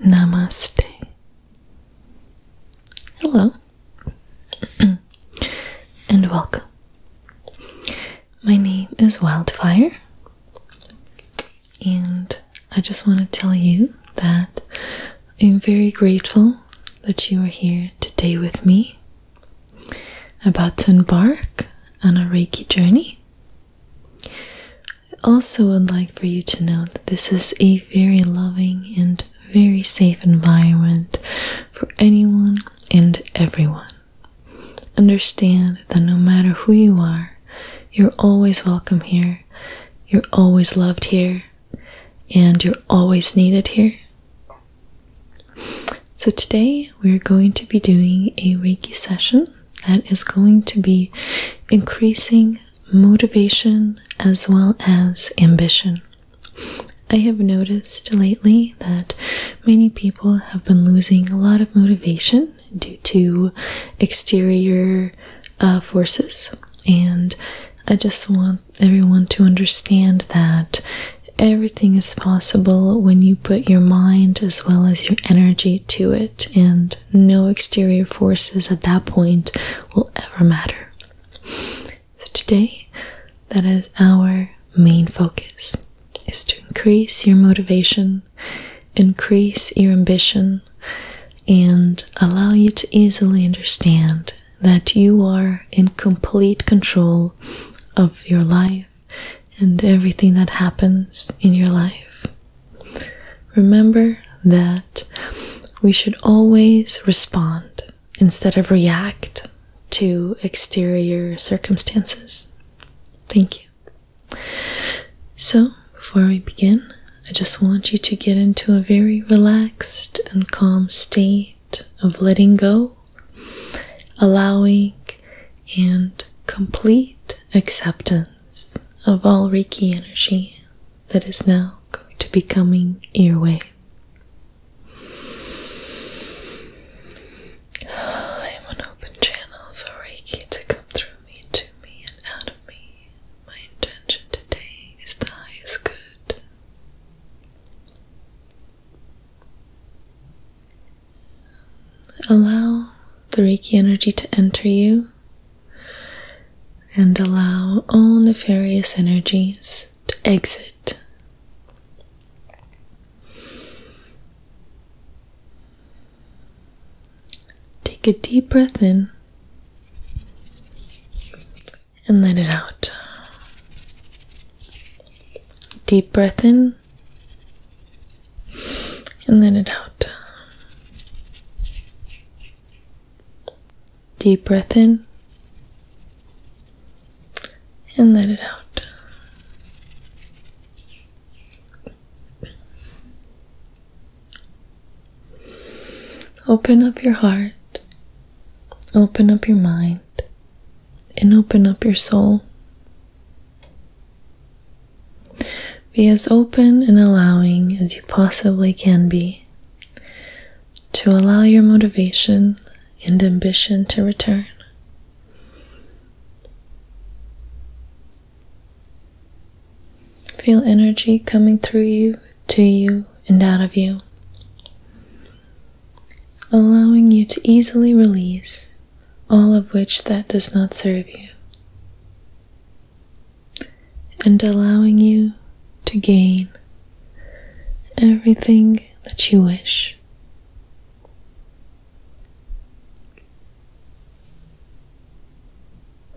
Namaste. Hello and welcome. My name is Wildfire, and I just want to tell you that I'm very grateful that you are here today with me about to embark on a Reiki journey. I also would like for you to know that this is a very loving and very safe environment for anyone and everyone. Understand that no matter who you are, you're always welcome here, you're always loved here, and you're always needed here. So, today we're going to be doing a Reiki session that is going to be increasing motivation as well as ambition. I have noticed lately that many people have been losing a lot of motivation due to exterior uh, forces, and I just want everyone to understand that everything is possible when you put your mind as well as your energy to it, and no exterior forces at that point will ever matter. So, today, that is our main focus is to increase your motivation, increase your ambition, and allow you to easily understand that you are in complete control of your life and everything that happens in your life. Remember that we should always respond instead of react to exterior circumstances. Thank you. So, before we begin, I just want you to get into a very relaxed and calm state of letting go, allowing, and complete acceptance of all Reiki energy that is now going to be coming your way. I am an open channel for Reiki to come through me, to me, and out of me. My intention today is the highest good Allow the Reiki energy to enter you and allow all nefarious energies to exit. Take a deep breath in and let it out. Deep breath in and let it out. Deep breath in and let it out. Open up your heart, open up your mind, and open up your soul. Be as open and allowing as you possibly can be to allow your motivation and ambition to return. Feel energy coming through you to you and out of you, allowing you to easily release all of which that does not serve you, and allowing you to gain everything that you wish.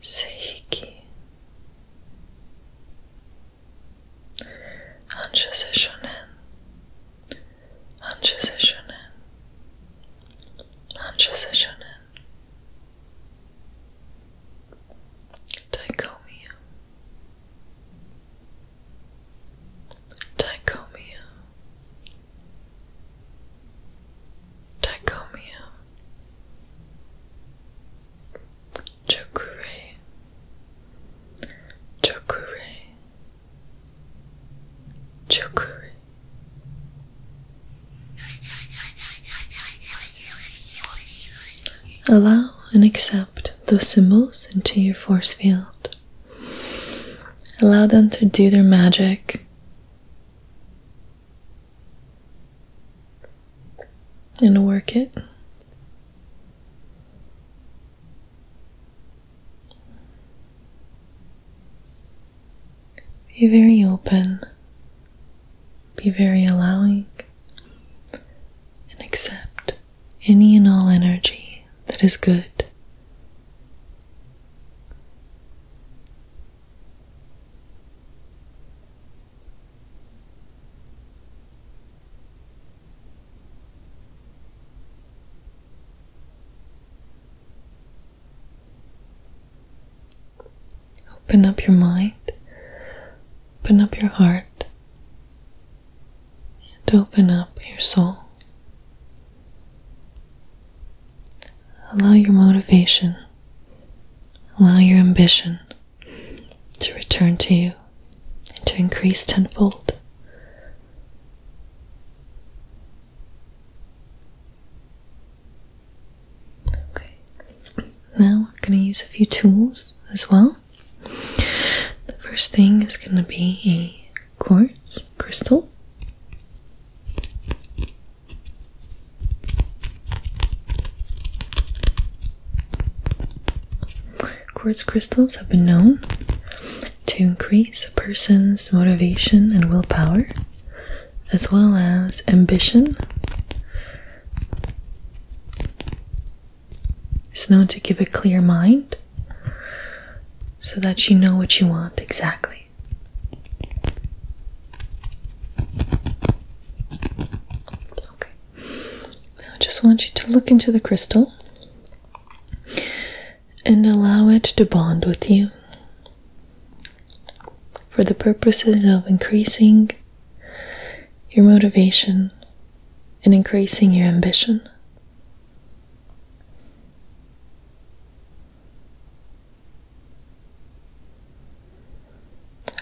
Seiki Anja Seshonen Anja Seshonen Anja Seshonen Dichomia Dichomia Dichomia Chokure, Chokure, Chokure. Allow and accept those symbols into your force field. Allow them to do their magic and work it. Be very open, be very allowing, and accept any and all energy that is good. Open up your mind, open up your heart, and open up your soul. Allow your motivation Allow your ambition to return to you and to increase tenfold. Okay, now we're going to use a few tools as well. The first thing is going to be a quartz crystal. Quartz crystals have been known to increase a person's motivation and willpower, as well as ambition. It's known to give a clear mind so that you know what you want exactly. Okay. Now I just want you to look into the crystal and allow it to bond with you for the purposes of increasing your motivation and increasing your ambition.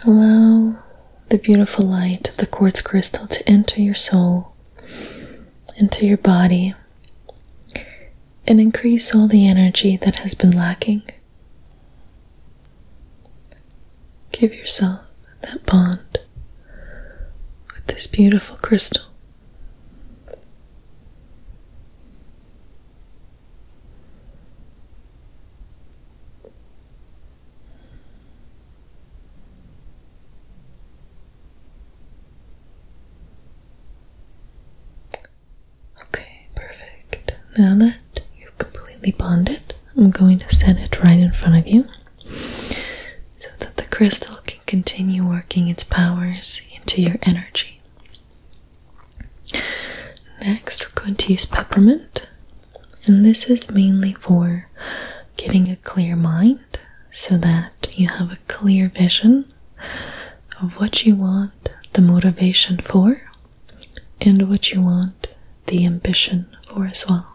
Allow the beautiful light of the quartz crystal to enter your soul, into your body, and increase all the energy that has been lacking. Give yourself that bond with this beautiful crystal. Okay, perfect. Now that you've completely bonded, I'm going to set it right in front of you so that the crystal can continue working its powers into your energy. Next, we're going to use peppermint, and this is mainly for getting a clear mind so that you have a clear vision of what you want the motivation for and what you want the ambition for as well.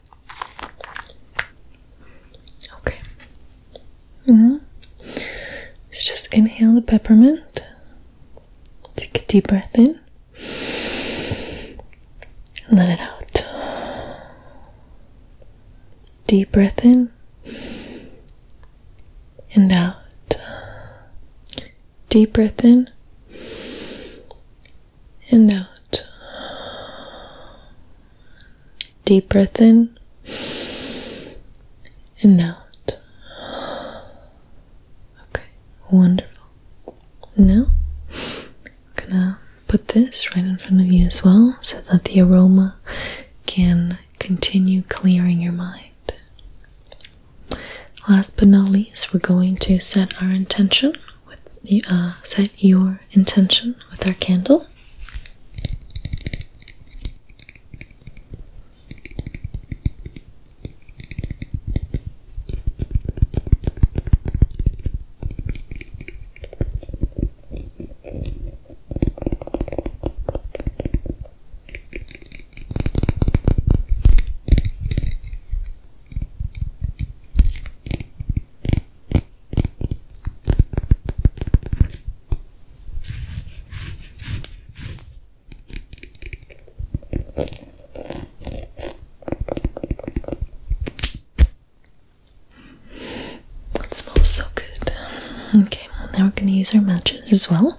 Okay. Now, let's just inhale the peppermint. Take a deep breath in. And let it out. Deep breath in. And out. Deep breath in and out. Deep breath in and out. Okay, wonderful. Now, we're gonna put this right in front of you as well so that the aroma can continue clearing your mind. Last but not least, we're going to set our intention with the uh, set your intention with our candle. It smells so good. Okay, now we're going to use our matches as well.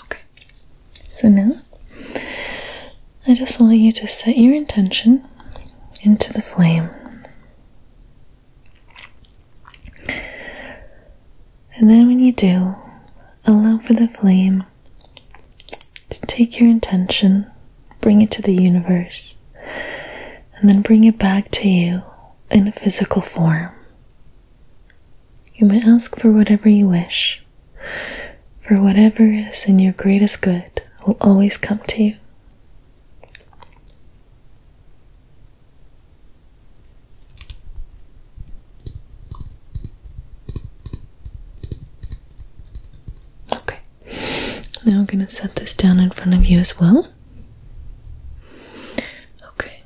Okay, so now I just want you to set your intention into the flame. And then, when you do, allow for the flame to take your intention bring it to the universe, and then bring it back to you in a physical form. You may ask for whatever you wish, for whatever is in your greatest good will always come to you. Okay. Now I'm going to set this down in front of you as well. Okay.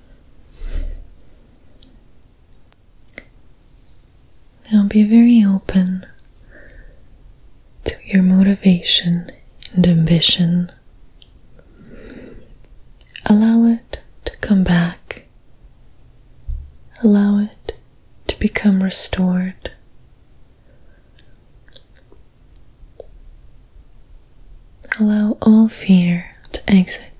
Now be very open to your motivation and ambition. Allow it to come back. Allow it to become restored. Allow all fear to exit.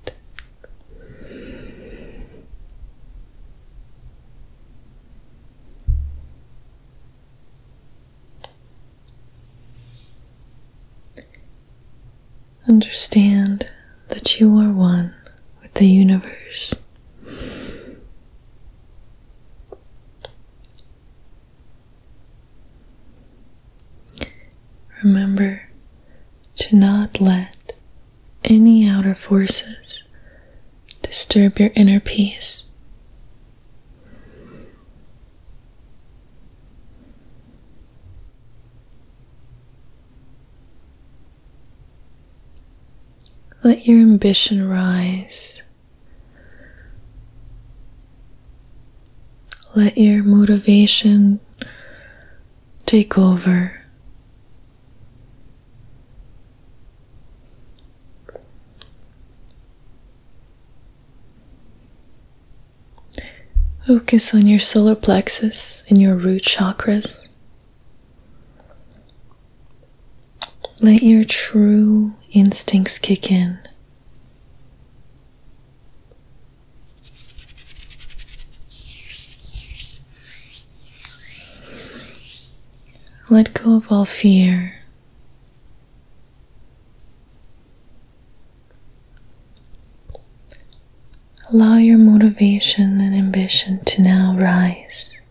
Understand that you are one with the universe. Remember to not let any outer forces disturb your inner peace. Let your ambition rise let your motivation take over. Focus on your solar plexus and your root chakras. Let your true instincts kick in. Let go of all fear. Allow your motivation and ambition to now rise.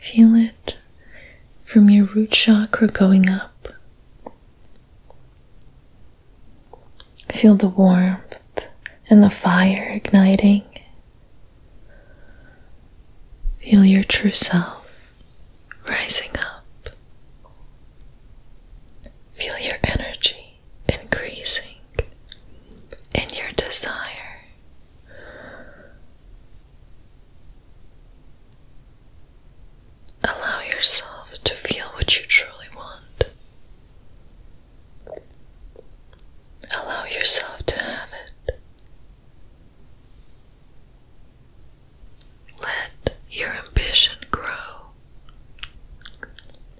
Feel it from your root chakra going up. Feel the warmth and the fire igniting. Feel your true self rising up. Feel your energy increasing and your desire Allow yourself to feel what you truly want. Allow yourself to have it. Let your ambition grow.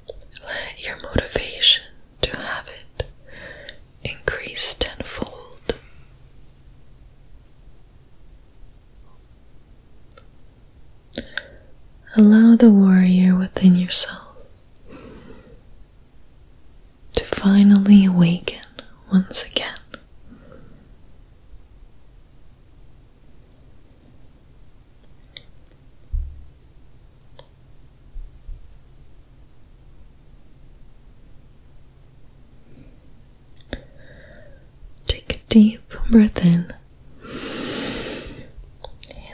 Let your motivation to have it increase tenfold. Allow the warrior within yourself to finally awaken once again. Take a deep breath in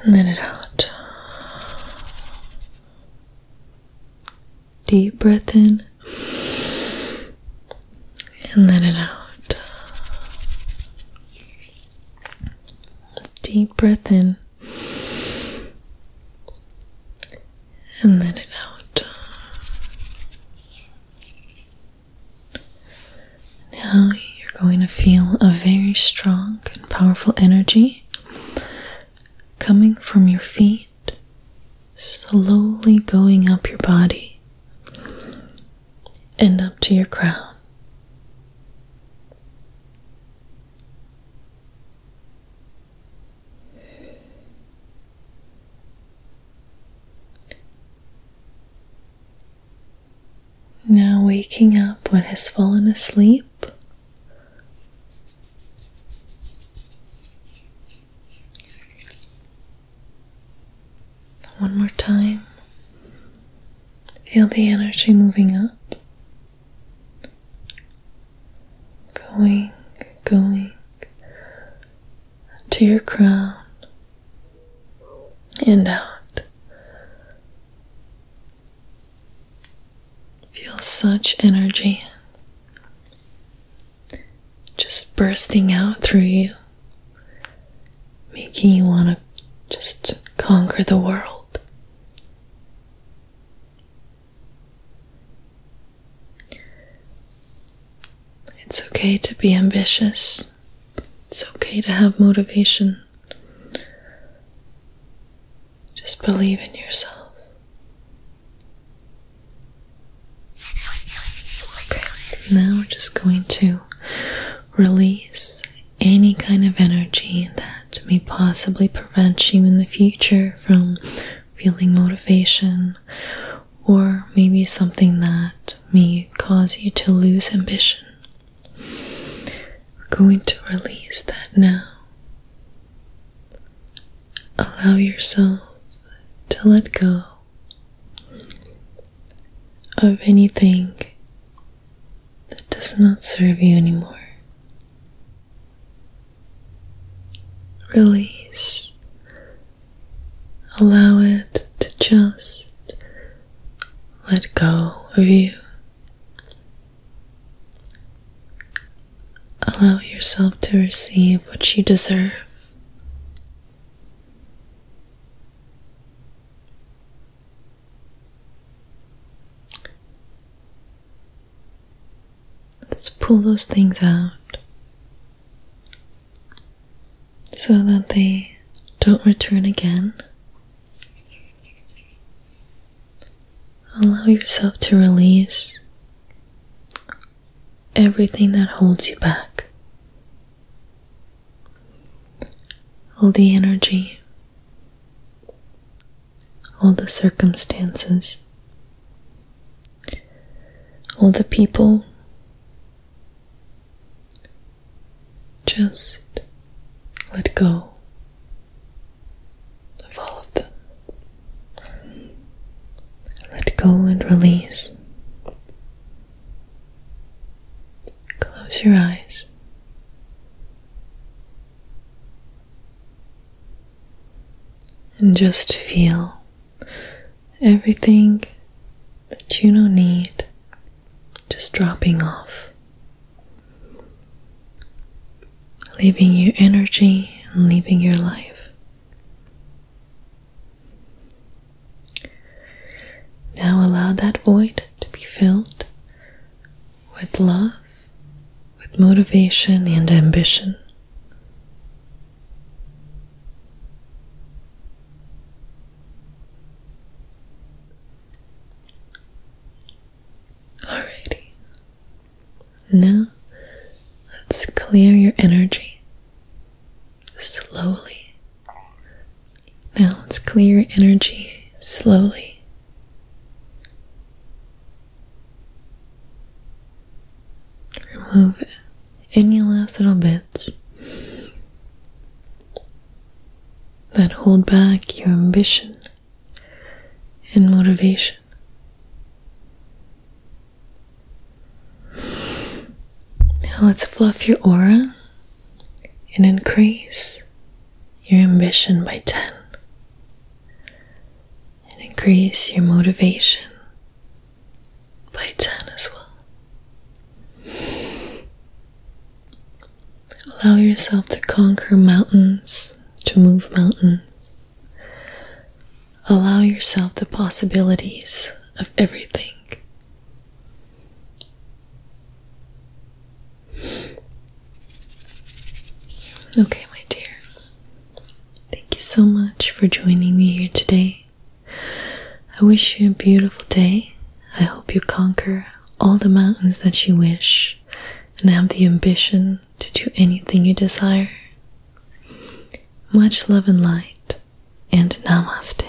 and let it out. Deep breath in and let it out. Deep breath in and let it out. Now you're going to feel a very strong and powerful energy coming from your feet, slowly going up your body and up to your crown. Now, waking up what has fallen asleep. One more time. Feel the energy moving up going, going to your crown and out. Feel such energy just bursting out through you, making you want to just conquer the world. It's okay to be ambitious. It's okay to have motivation. Just believe in yourself. Okay, now we're just going to release any kind of energy that may possibly prevent you in the future from feeling motivation, or maybe something that may cause you to lose ambition. We're going to release that now. Allow yourself to let go of anything that does not serve you anymore. Release. Allow it to just let go of you. Allow yourself to receive what you deserve. Let's pull those things out so that they don't return again. Allow yourself to release everything that holds you back. All the energy all the circumstances, all the people. Just let go of all of them. Let go and release. Close your eyes. And just feel everything that you don't need just dropping off, leaving your energy and leaving your life. Now allow that void to be filled with love, with motivation and ambition. Alrighty. Now let's clear your energy slowly now let's clear energy slowly. Remove any last little bits that hold back your ambition and motivation. Now let's fluff your aura and increase your ambition by 10 and increase your motivation by 10 as well. Allow yourself to conquer mountains, to move mountains. Allow yourself the possibilities of everything Okay, my dear. Thank you so much for joining me here today. I wish you a beautiful day. I hope you conquer all the mountains that you wish and have the ambition to do anything you desire. Much love and light, and namaste.